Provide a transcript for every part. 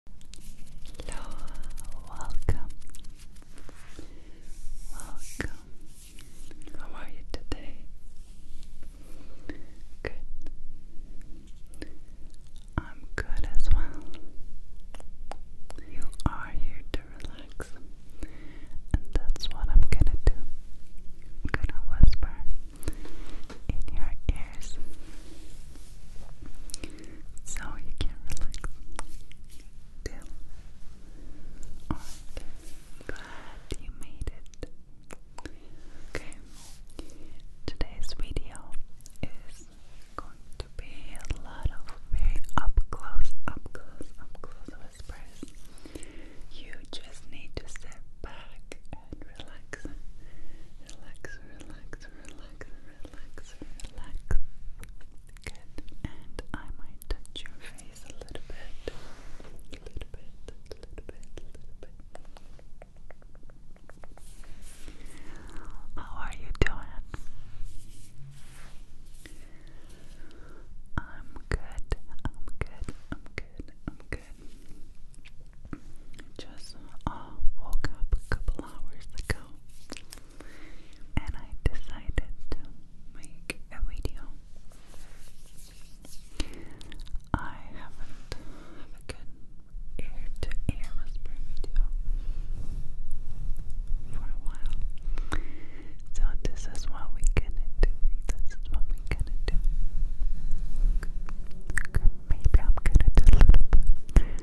Hello, welcome. Welcome. How are you today? Good. I'm good as well. You are here to relax, and that's what I'm gonna do. I'm gonna whisper in your ears so you can relax. Deal? Alright, glad you made it. Okay, today's video is going to be a lot of very up close, up close, up close whispers. You just need to sit back and Relax, relax, relax, relax relax, relax. Good. And I might touch your face a little bit. A little bit, a little bit, a little bit. How are you doing? I'm good, I'm good, I'm good, I'm good just uh, woke up a couple hours ago and I decided to make a video. I haven't have a good ear to ear whisper video for a while. So this is what we gonna do. This is what we gonna do. Maybe I'm gonna do a little bit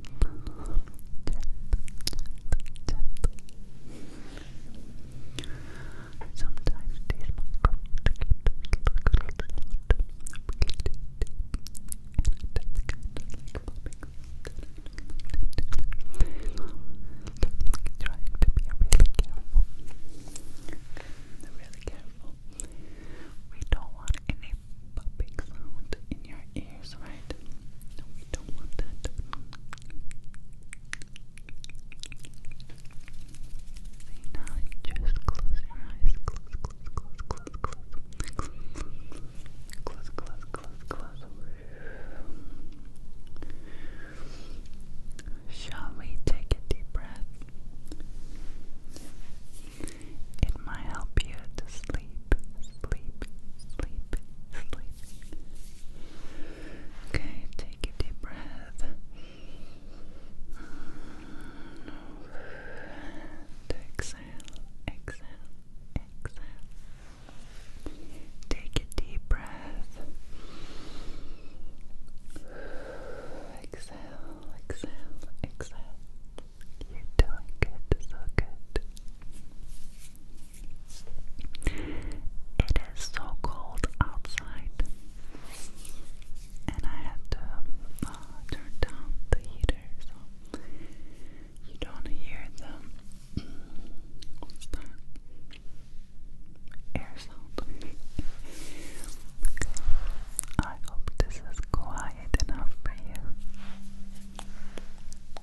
gentle, gentle. Sometimes these microphones get a Trying to be really careful. Really careful. We don't want any popping sound in your ear right? we don't want that. now just close your eyes. Close, close, close, close, close. Close, close, close, close. Shall we take a deep breath? It might help you to sleep, sleep, sleep, Okay, take a deep breath. exhale, exhale, exhale. Take a deep breath. Exhale, exhale, exhale. you doing good, so good. It is so cold outside, and I had to uh, turn down the heater so you don't hear the what's that? air sound. I hope this is quiet enough for you.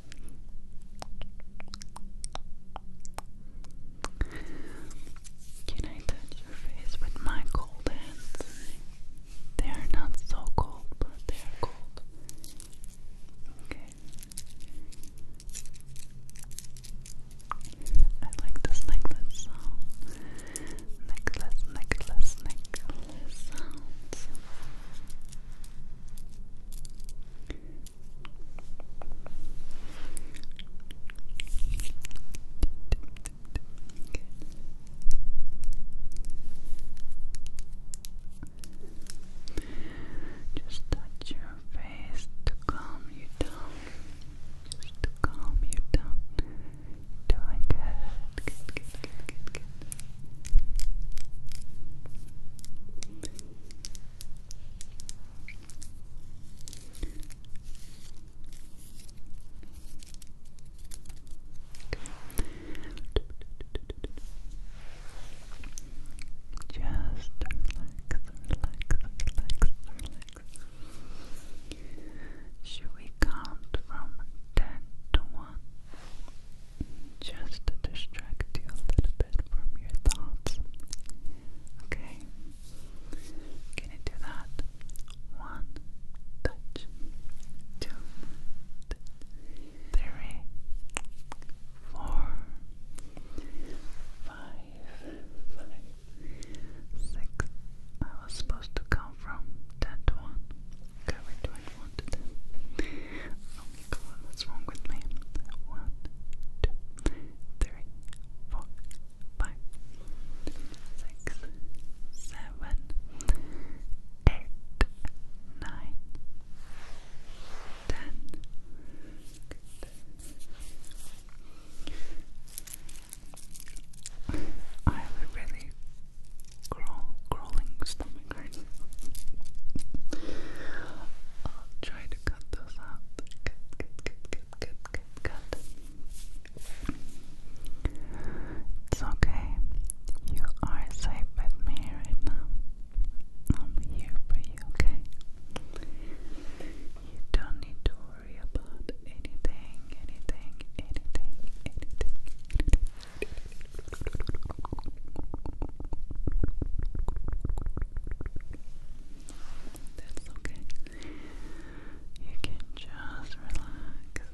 Can I touch your face with my cold hands? They are not so cold, but they are cold. Okay. I like this necklace Necklace, necklace, necklace just touch your face to calm you down. Just to calm you down. doing good. Good, good, good, good, good. Just relax, relax, relax. Should we count from ten to one? just to distract you a little bit from your thoughts. Okay? Can you do that? One, I was supposed to count from ten to one. Okay, we're doing wanted them. Oh my god, what's wrong with me? One, two, three, four, five, six, seven, eight, nine, ten. I have a really crawling stomach right I'll try to cut those out. Cut, cut, cut, cut, cut, cut, It's okay. You are safe with me right now. I'm here for you, okay? You don't need to worry about anything, anything, anything, anything. That's okay. You can just relax.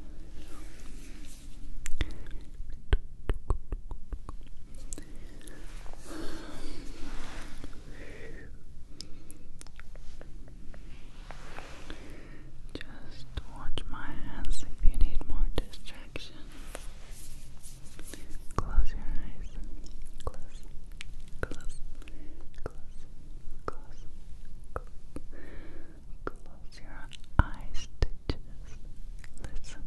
Just watch my hands if you need more distress. Close your eyes. Close. Close. Close. Close. Close. Close your eyes just listen.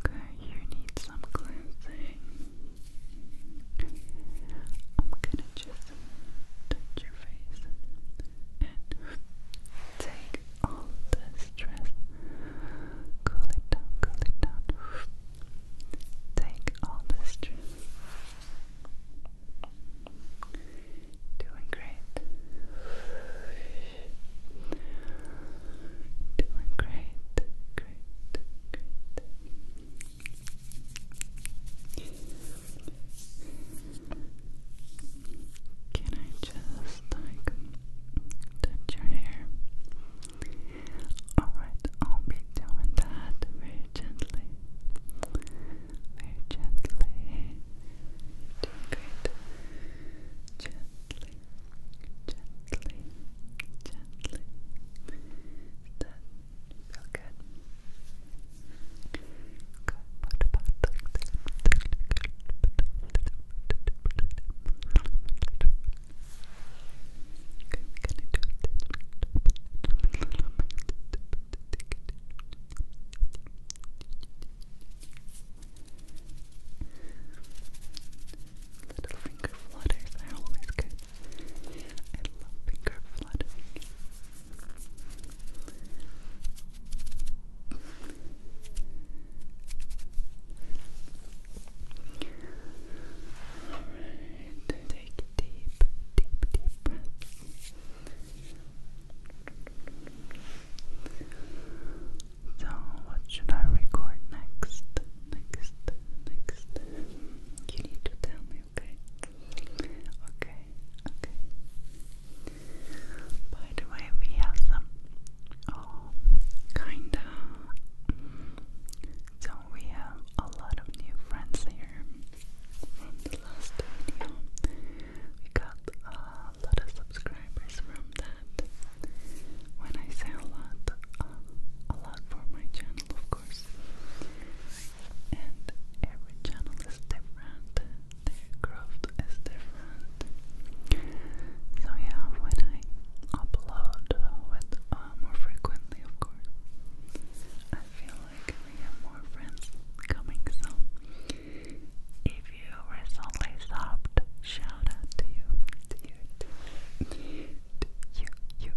Okay, you need some cleansing. I'm gonna just touch your face and take all the stress. Cool it down, cool it down. Take all the stress. Doing great. Doing great, great, great. Can I just like touch your hair? Alright, I'll be doing that very gently. Very gently. You're doing Gently, gently, gently. that feel good? Little finger flutters are always good. I love finger fluttering. Finger fluttering. Alright, take deep, deep, deep breath. So, what should I record next? Next, next. You need to tell me me, okay? Okay, okay. By the way, we have some oh, kinda. So we have a lot of new friends here from the last video. We got a lot of subscribers from that. When I say a lot, uh, a lot for my channel, of course and every channel is different, their growth is different. So yeah, when I upload with uh, more frequently, of course, I feel like we have more friends coming. So if you recently stopped, shout out to you, to you, to you, you.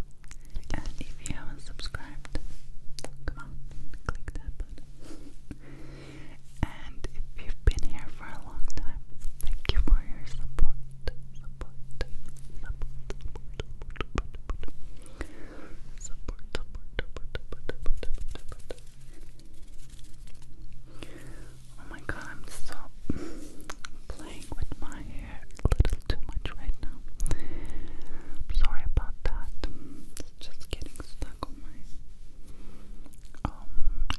And if you haven't subscribed, come on, click that button and if you've been here for a long time, thank you for your support. Support, support, support, support, support, Oh my god, I'm so playing with my hair a little too much right now. sorry about that just getting stuck on my um,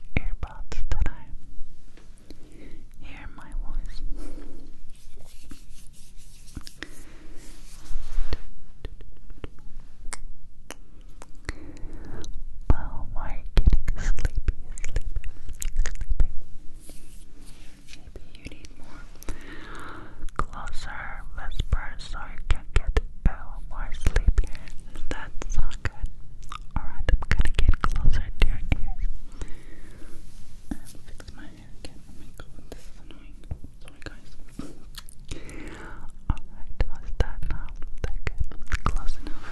that I hear my voice. Well, oh, we're getting sleepy, sleepy, sleepy. Maybe you need more Closer whispers so you can get a little more sleep here. That's so good. Alright, I'm gonna get closer to your ears. fix my hair again. Oh this is annoying. Sorry guys. Alright, let's now. That's good. Close enough.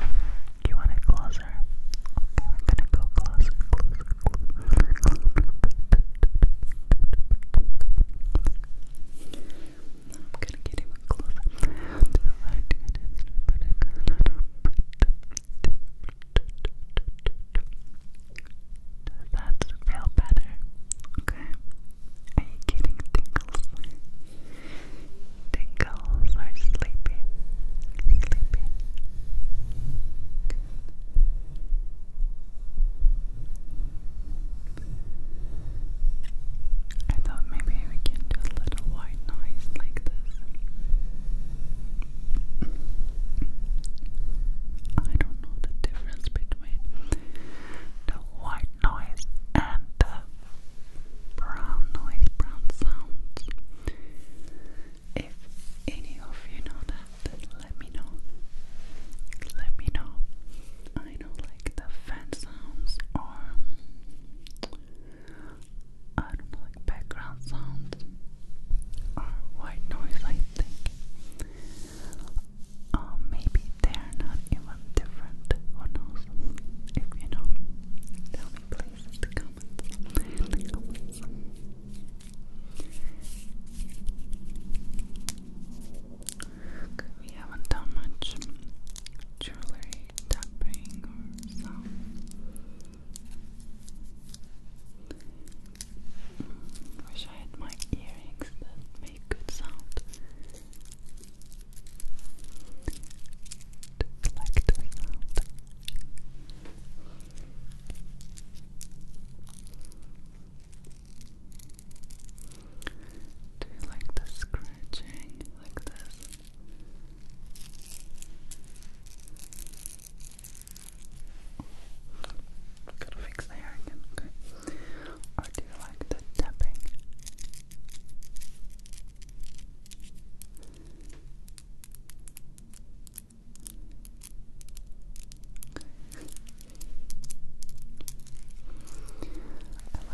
You want it closer? Okay, we're gonna go closer, closer, closer. I'm gonna get even closer Does that feel better? Okay. Are you getting tingles? Tingles are sleepy. Sleepy. I thought maybe we can do a little white noise like this. I don't know the difference between the white noise and the brown noise, brown sounds. If any of you know that, then let me know. Let me know. I know, like the fan sounds or I don't like background sounds or white noise. I think. Um, maybe they're not even different. Who knows? If you know, tell me please In the comments. We haven't done much jewelry tapping or sound. Mm, wish I had my earrings that make good sound. To like sound. Do you like the scratching like this? Gotta fix the again, okay. Or do you like the tapping? I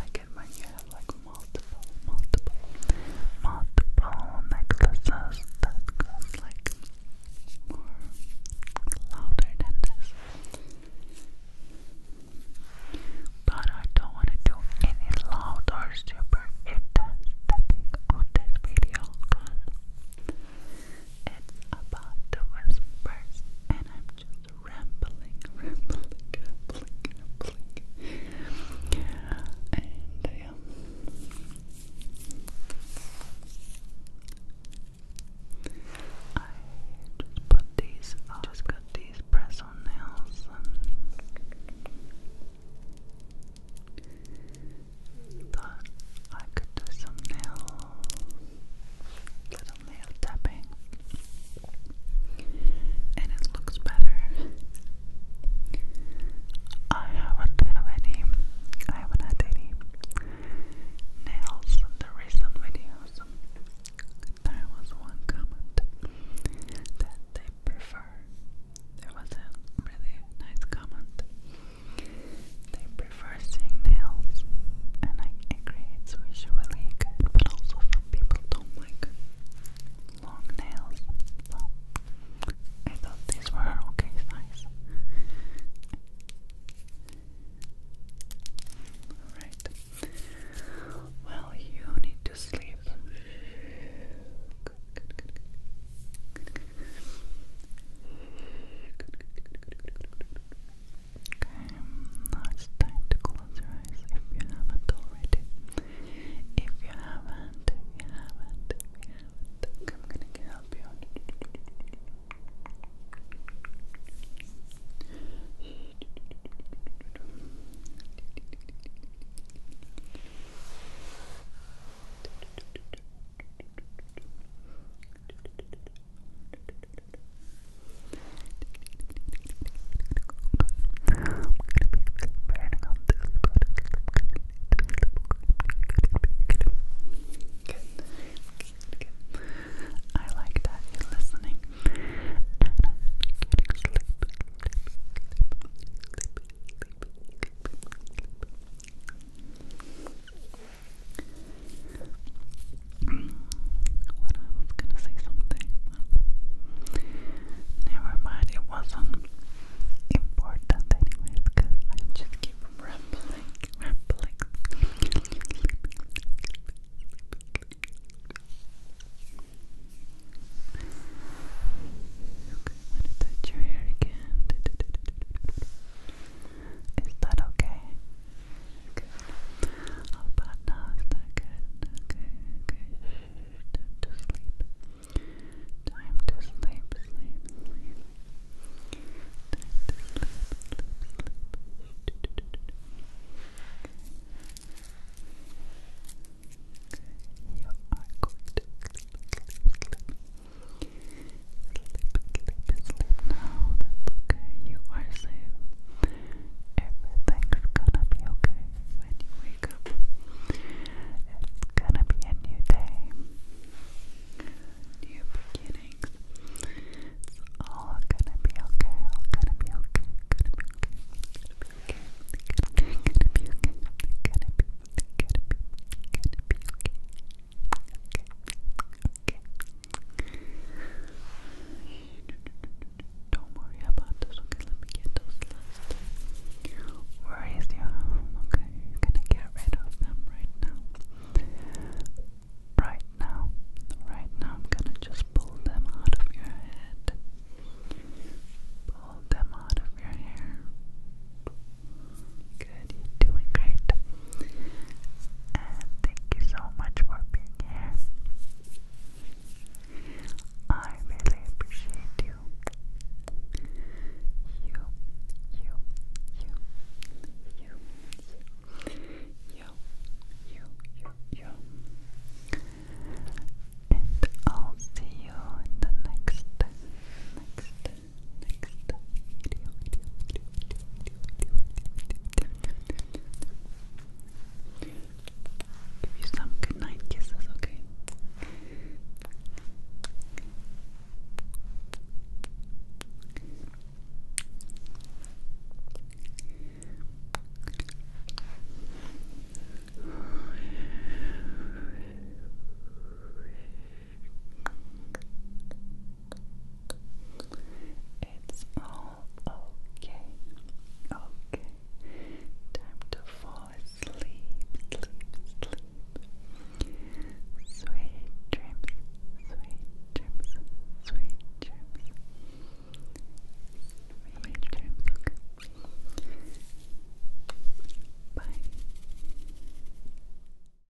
like it when you have like multiple, multiple, multiple necklaces that goes like louder than this. But I don't want to do any loud or super aesthetic on this video because it's about to whispers, and I'm just rambling, rambling, rambling, rambling. And um, I just put these, uh, I just got these press on nails and thought I could do some nails little nail tapping, and it looks better. I haven't have any. I haven't had any nails in the recent videos. There was one comment that they prefer. There was a really nice comment they prefer seeing nails, and I, it creates visually good, but also some people don't like long nails. I thought these were okay size. Alright. Well, you need to sleep. Okay, now it's time to close your eyes if you haven't already. If you haven't, you haven't, I'm gonna help you. I like that you're listening. And I'm sleep. Sleep, sleep, sleep, sleep. What I was gonna say something. never mind, it wasn't important anyways, cause I just keep rambling, rambling. want to touch your hair again. Is that okay? Good. How oh, about now? Is that good? Okay, okay. Shh, time to sleep. Time to sleep, sleep, sleep. Time to sleep, sleep, sleep. Shh, Okay, you are going to sleep, sleep, sleep sleep, sleep now. That's okay. You are safe. Everything's gonna be okay when you wake up. It's gonna be a new day, new beginnings. all gonna be okay. All Gonna be okay okay. Don't worry about this, okay? Let me get those last worries you okay? You're gonna get rid of them right now. Right now, right now, I'm gonna just pull them out of your head. Pull them out of your hair. Good, doing great. And thank you so much for being here. I really appreciate you. You, you, you, you, you, you, you, you. And I'll see you the next, next, Give you some good kisses, okay? It's all okay. Okay. Time to fall asleep. Sleep, sleep. Sweet dreams. Sweet dreams. Sweet dreams. Sweet dreams. Bye.